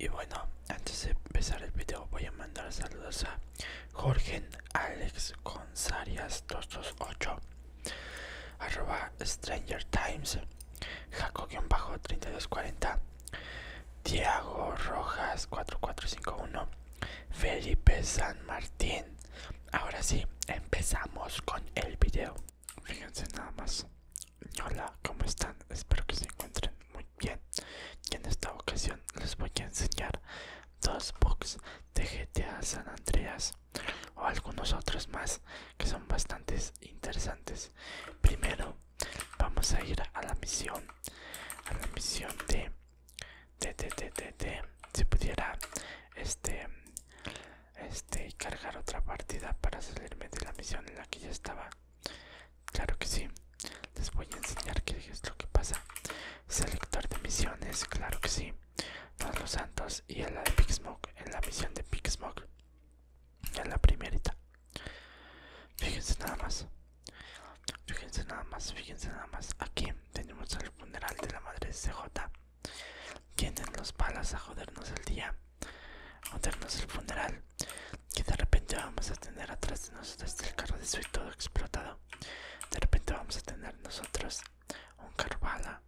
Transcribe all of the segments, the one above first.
Y bueno, antes de empezar el video voy a mandar saludos a Jorgen Alex González 228 arroba Stranger Times Jaco-3240 Diego Rojas 4451 Felipe San Martín Ahora sí, empezamos con el video Fíjense nada más Hola, ¿cómo están? Espero que se encuentren muy bien. Y en esta ocasión les voy a enseñar dos books de GTA San Andreas o algunos otros más que son bastante interesantes. Primero, vamos a ir a la misión, a la misión de, de, si pudiera, este, este, cargar otra partida para salirme de la misión en la que ya estaba. Claro que sí. Les voy a enseñar qué es lo que pasa. Selector de misiones, claro que sí. los santos y en la de smoke en la misión de Smoke, En la primerita. Fíjense nada más. Fíjense nada más, fíjense nada más. Aquí tenemos el funeral de la madre CJ. Tienen los palas a jodernos el día a darnos el funeral, que de repente vamos a tener atrás de nosotros el carro de su todo explotado. De repente vamos a tener nosotros un carro bala.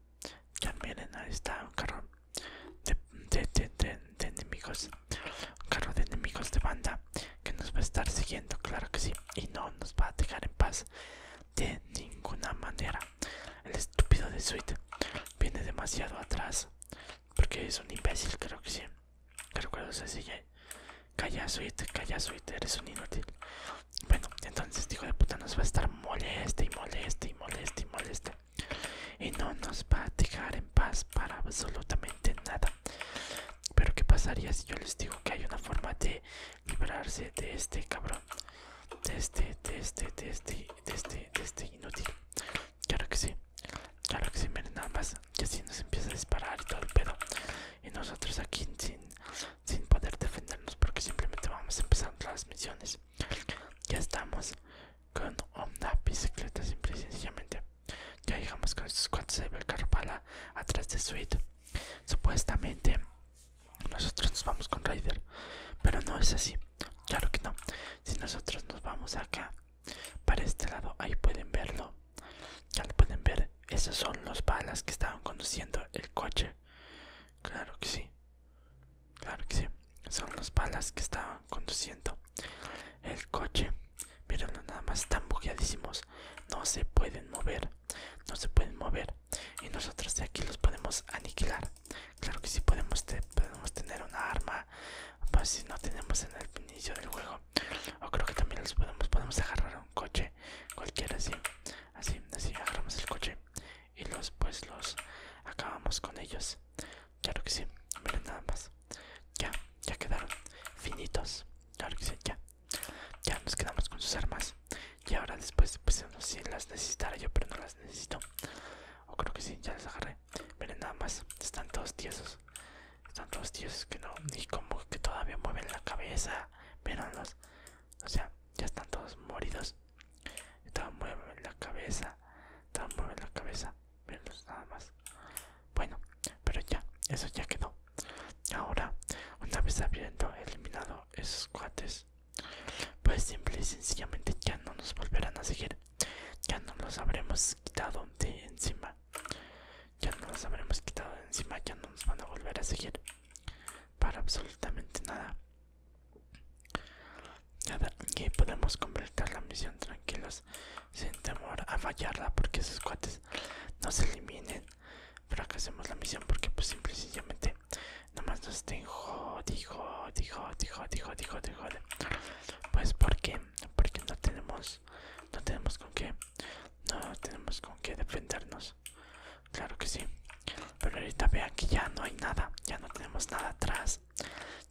Ya miren, ahí está un carro de, de enemigos. Un carro de enemigos de banda que nos va a estar siguiendo, claro que sí. Y no nos va a dejar en paz de ninguna manera. El estúpido de Sweet viene demasiado atrás porque es un imbécil, creo que sí. Recuerdo sigue, Calla, suite, calla, suite, eres un inútil. Bueno, entonces, hijo de puta, nos va a estar molesta y molesta y moleste y molesta Y no nos va a dejar en paz para absolutamente nada. Pero, ¿qué pasaría si yo les digo que hay una forma de librarse de este cabrón? De este, de este, de este, de este, de este inútil. Claro que sí, claro que sí, miren nada más. Que así nos empieza a disparar y todo el pedo. Y nosotros aquí sin, poder defendernos porque simplemente vamos empezando las misiones. Ya estamos con una bicicleta simple y sencillamente. Ya llegamos con estos cuantos de Carpala atrás de suite Supuestamente nosotros nos vamos con Raider, pero no es así. Claro que no. Si nosotros nos vamos acá para este lado, ahí pueden verlo. Ya pueden ver. Esos son los balas que estaban conduciendo el coche. Claro que sí. Claro que sí. Son los balas que estaban conduciendo el coche. no nada más, están bugueadísimos. No se pueden mover. No se pueden mover. Y nosotros de aquí los podemos aniquilar. Claro que sí podemos tener una arma pues si no tenemos en el inicio del juego o creo que también los podemos podemos agarrar un coche cualquiera así así así agarramos el coche y los pues los acabamos con ellos claro que sí miren nada más ya ya quedaron finitos claro que sí ya ya nos quedamos con sus armas y ahora después pues si las necesitara yo pero no las necesito o creo que sí ya las agarré miren nada más están todos tiesos están todos dioses que no, ni como que todavía mueven la cabeza, véanlos. O sea, ya están todos moridos. Todavía mueven la cabeza, mueven la cabeza, nada más. Bueno, pero ya, eso ya quedó. Ahora, una vez habiendo eliminado esos cuates, pues simple y sencillamente ya no nos volverán a seguir. Ya no los habremos quitado de encima. Ya no las habremos quitado de encima, ya no nos van a volver a seguir. Para absolutamente nada. Nada, y podemos completar la misión tranquilos, sin temor a fallarla, porque esos cuates nos eliminen. Fracasemos la misión porque pues simple y sencillamente nomás nos tengo, dijo, dijo, dijo dijo dijo dijo Pues porque, porque no tenemos no tenemos con qué no tenemos con qué defendernos claro que sí pero ahorita vean que ya no hay nada ya no tenemos nada atrás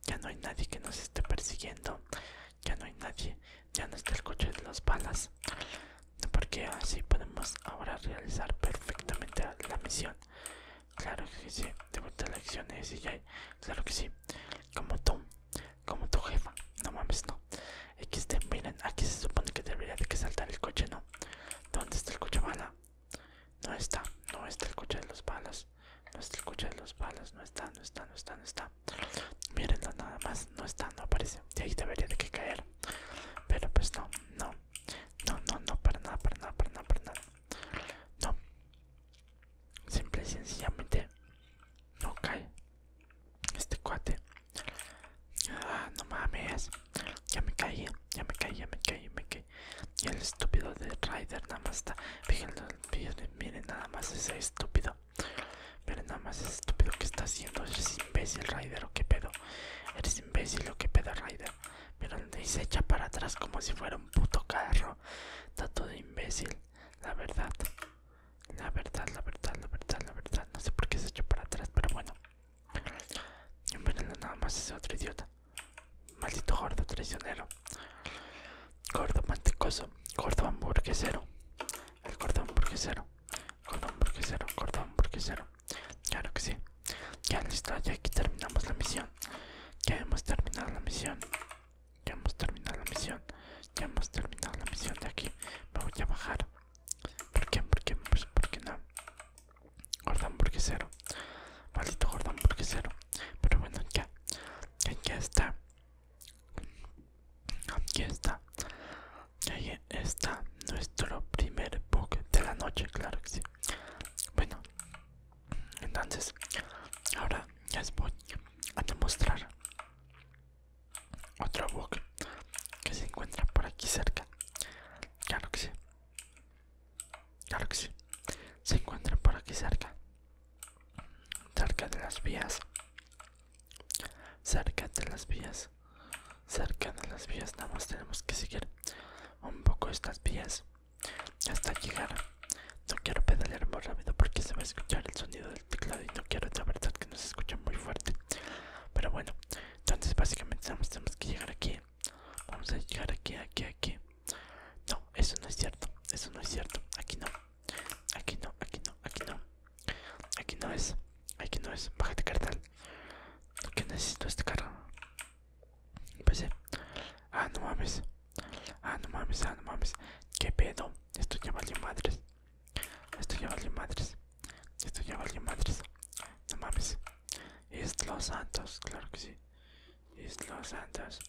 ya no hay nadie que nos esté persiguiendo ya no hay nadie ya no está el coche de las balas porque así podemos ahora realizar perfectamente la misión claro que sí de vuelta a la acción claro que sí como tú como tu jefa. No mames, no. XD, miren, aquí se supone que debería de que saltar el coche, ¿no? ¿Dónde está el coche bala? No está, no está el coche de los balas. No está el coche de los balas, no está, no está, no está, no está. Mírenlo nada más, no está, no aparece. De ahí debería de que caer. Pero pues no, no. No, no, no, para nada, para nada, para nada, para nada. No, Simple y sencillamente no cae este cuate. Ah, no mames. Ya me caí, ya me caí, ya me caí, ya me caí. Y el estúpido de Ryder nada más está. Fíjense, miren nada más ese estúpido. Miren nada más ese estúpido que está haciendo. Eres imbécil, Ryder, o que pedo. Eres imbécil, o que pedo, Ryder. pero y se echa para atrás como si fuera un puto carro. Está todo imbécil, la verdad. La verdad, la verdad, la verdad, la verdad. No sé por qué se echó para atrás, pero bueno. Y nada más es otro idiota. Maldito gordo traicionero. Gordo mantecoso. Gordo hamburguesero. El gordo hamburguesero. Gordo hamburguesero. Gordo hamburguesero. Claro que sí. Ya listo, ya aquí terminamos la misión. Ya hemos terminado la misión. Ya hemos terminado la misión. Ya hemos terminado la misión de aquí. Me voy a bajar. ¿Por qué? ¿Por qué? por pues porque no. Gorda hamburguesero. Maldito gorda Pero bueno, ya. Ya, está. Aquí está. Ahí está nuestro primer bug de la noche, claro que sí. Bueno, entonces, ahora les voy a demostrar otro bug que se encuentra por aquí cerca. Galaxy. Galaxy. Se encuentra por aquí cerca. Cerca de las vías. Cerca de las vías. Cerca de las vías. Nada más tenemos que seguir un poco estas vías hasta llegar no quiero pedalear muy rápido porque se va a escuchar el sonido del teclado y no quiero la verdad que nos escucha muy fuerte. Pero bueno, entonces básicamente tenemos que llegar aquí. Vamos a llegar aquí, aquí, aquí. No, eso no es cierto, eso no es cierto. Aquí no, aquí no, aquí no, aquí no. Aquí no es, aquí no es. Bájate cartel. ¿Qué necesito este carro? sí Ah, no mames. Ah, no mames, ah, no mames. ¿Qué pedo? Esto ya vale madres. Esto ya vale madres. Esto ya vale madres. No mames. Es los santos, claro que sí. Es los santos.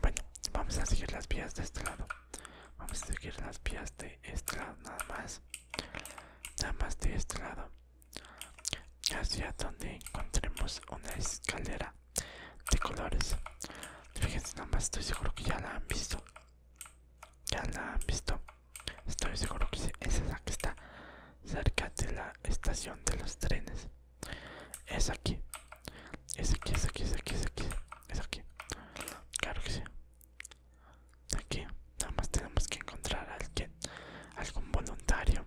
Bueno, vamos a seguir las vías de este lado. Vamos a seguir las vías de este lado, nada más. Nada más de este lado. Hacia donde encontremos una escalera de colores. Fíjense nada más, estoy seguro que ya la han visto. Ya la han visto. Estoy seguro que esa es la que está cerca de la estación de los trenes. Es aquí. Es aquí, es aquí, es aquí, es aquí. Es aquí. Claro que sí. Aquí. Nada más tenemos que encontrar a alguien. Algún voluntario.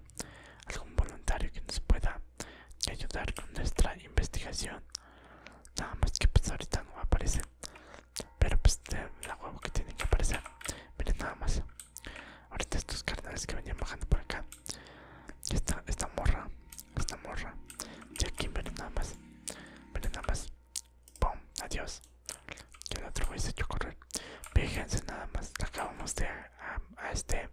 Algún voluntario que nos pueda y ayudar con nuestra investigación. Nada más que pues, ahorita no aparece. Pero pues de la huevo que tiene que aparecer. Miren nada más. Ahorita estos carnales que venían bajando por acá. Esta, esta morra. Esta morra. De aquí miren nada más. Miren nada más. ¡Pum! Adiós. Que el otro vez se echó correr. Fíjense nada más. Acabamos de... este...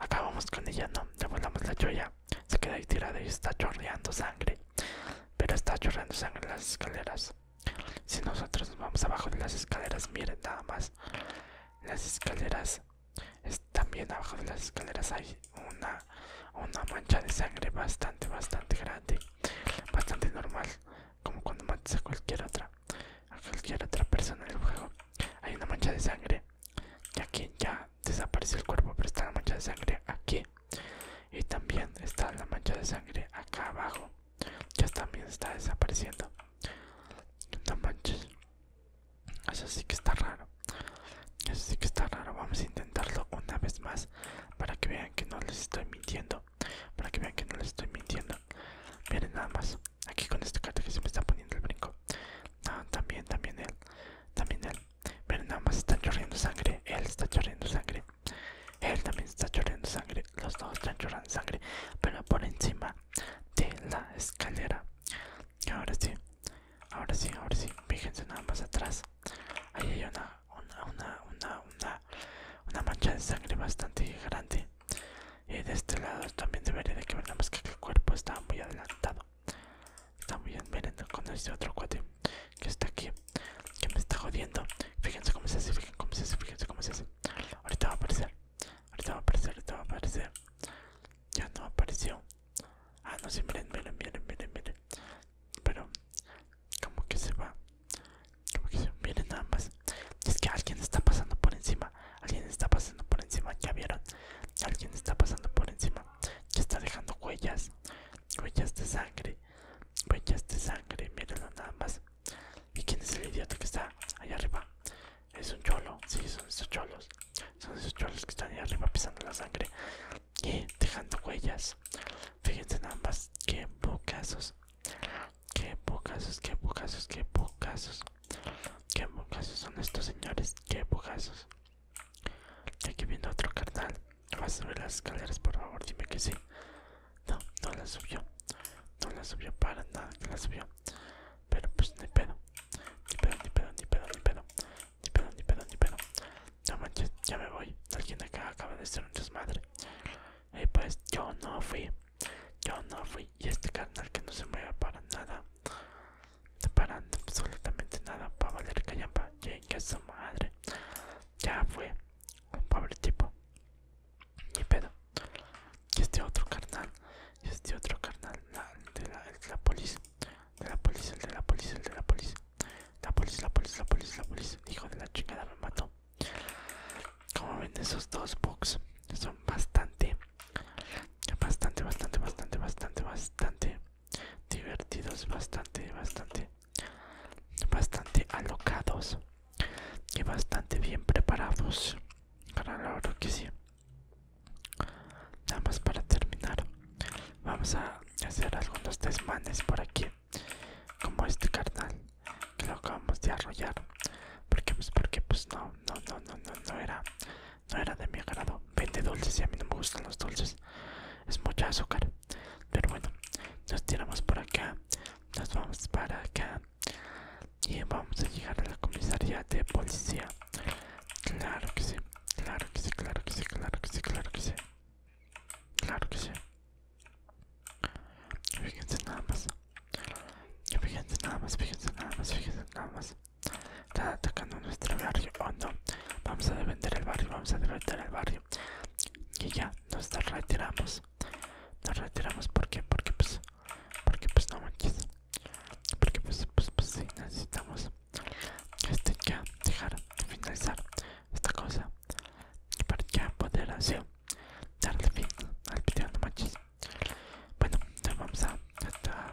Acabamos con ella, ¿no? Le volamos la joya. Se queda ahí tirada y está chorreando sangre. Pero está chorreando sangre en las escaleras. Si nosotros nos vamos abajo de las escaleras, miren nada más. Las escaleras, también abajo de las escaleras hay una, una mancha de sangre bastante, bastante grande. Bastante normal, como cuando matas a cualquier otra, a cualquier otra persona en el juego. Hay una mancha de sangre. Ya, aquí ya Desaparece desapareció el cuerpo pero está la mancha de sangre aquí y también está la mancha de sangre acá abajo ya también está desapareciendo no manches eso sí que está raro eso sí que está raro vamos a intentarlo una vez más para que vean que no les estoy mintiendo para que vean que no les estoy mintiendo miren nada más aquí con este cate que se me está poniendo el brinco también también él también él pero nada más están chorreando sangre. Él está chorreando sangre. Él también está chorreando sangre. Los dos están chorreando sangre. Pero por encima de la escalera. ahora sí. Ahora sí, ahora sí. Fíjense nada más atrás. Ahí hay una, una, una, una, una, mancha de sangre bastante grande. Y de este lado también debería de que ver más que el cuerpo está muy adelantado. Está muy bien, miren con este otro cuate que está aquí, que me está jodiendo. Fíjense cómo se hace, fíjense cómo se hace, fíjense cómo se hace. Ahorita va a aparecer, ahorita va a aparecer, ahorita va a aparecer. Ya no apareció. Ah, no, sí, miren, miren, miren, miren, miren. Pero, como que se va, que se miren nada más. Es que alguien está pasando por encima, alguien está pasando por encima, ya vieron, alguien está pasando por encima. Que está dejando huellas, huellas de sangre, huellas de sangre, mírenlo nada más. ¿Y quién es el idiota que está allá arriba? Es un cholo, sí, son esos cholos, son esos cholos que están allá arriba pisando la sangre y dejando huellas. Fíjense nada más, qué bocazos, qué bocazos, qué bocazos, qué bocazos, qué bocazos son estos señores, qué bocasos Aquí viene otro carnal. ¿Vas a subir las escaleras, por favor? Dime que sí. No, no la subió. No la subió para nada Pero pues ni pedo. Ni pedo, ni pedo, ni pedo, ni pedo. Ni pedo, ni pedo, ni pedo. No manches, ya me voy. Alguien acá acaba de ser un desmadre. Y pues yo no fui. Yo no fui. Y este carnal que no se mueve para nada. No paran absolutamente nada para valer callampa. que su madre. Ya fue. Un pobre tipo. y pedo. este otro carnal. este otro carnal. de la, el de la policía. De la policía, el de la policía, de la policía. La policía, la policía, la policía, la policía. Hijo de la chingada me mató. Como ven esos dos bugs son bastante, bastante, bastante, bastante, bastante, bastante divertidos, bastante, bastante, bastante alocados y bastante bien preparados. Para lo que sí. Nada más para terminar, vamos a hacer algunos desmanes por aquí, como este carnal que lo acabamos de arrollar, porque pues porque pues no, no, no, no, no, no era no era de mi agrado. Vende dulces y a mí no me gustan los dulces. Es mucha azúcar. Pero bueno, nos tiramos por acá. Nos vamos para acá. Y vamos a llegar a la comisaría de policía. Claro que sí. Claro que sí, claro que sí, claro que sí, claro que sí. Claro que sí. Fíjense nada más. Fíjense nada más, fíjense nada más, fíjense nada más. Está atacando nuestro barrio. O oh, no. Vamos a defender el barrio. Vamos a defender el barrio. Y ya, nos retiramos. Nos retiramos. ¿Por qué? Porque pues. Porque pues no manches. Porque pues pues pues necesitamos este ya dejar de finalizar esta cosa. para ya poder así darle fin al video no manches. Bueno, ya vamos a, a,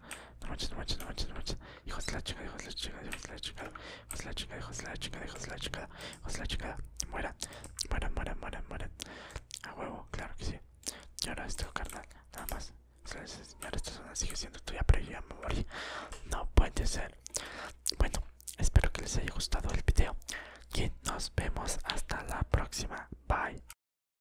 no manches, no manches, no manches, no manches. Hijos de la chica, hijos de la chica, hijos de la chica, Hijos de la chica, hijos de la chica, hijos de la chica, Hijos de la chingada. Mueran, mueran, mueran, mueran, mueran. A huevo, claro que sí. Y ahora esto, carnal, nada más. Señora, esta zona sigue siendo tuya, pero yo ya me morí. No puede ser. Bueno, espero que les haya gustado el video. Y nos vemos hasta la próxima. Bye.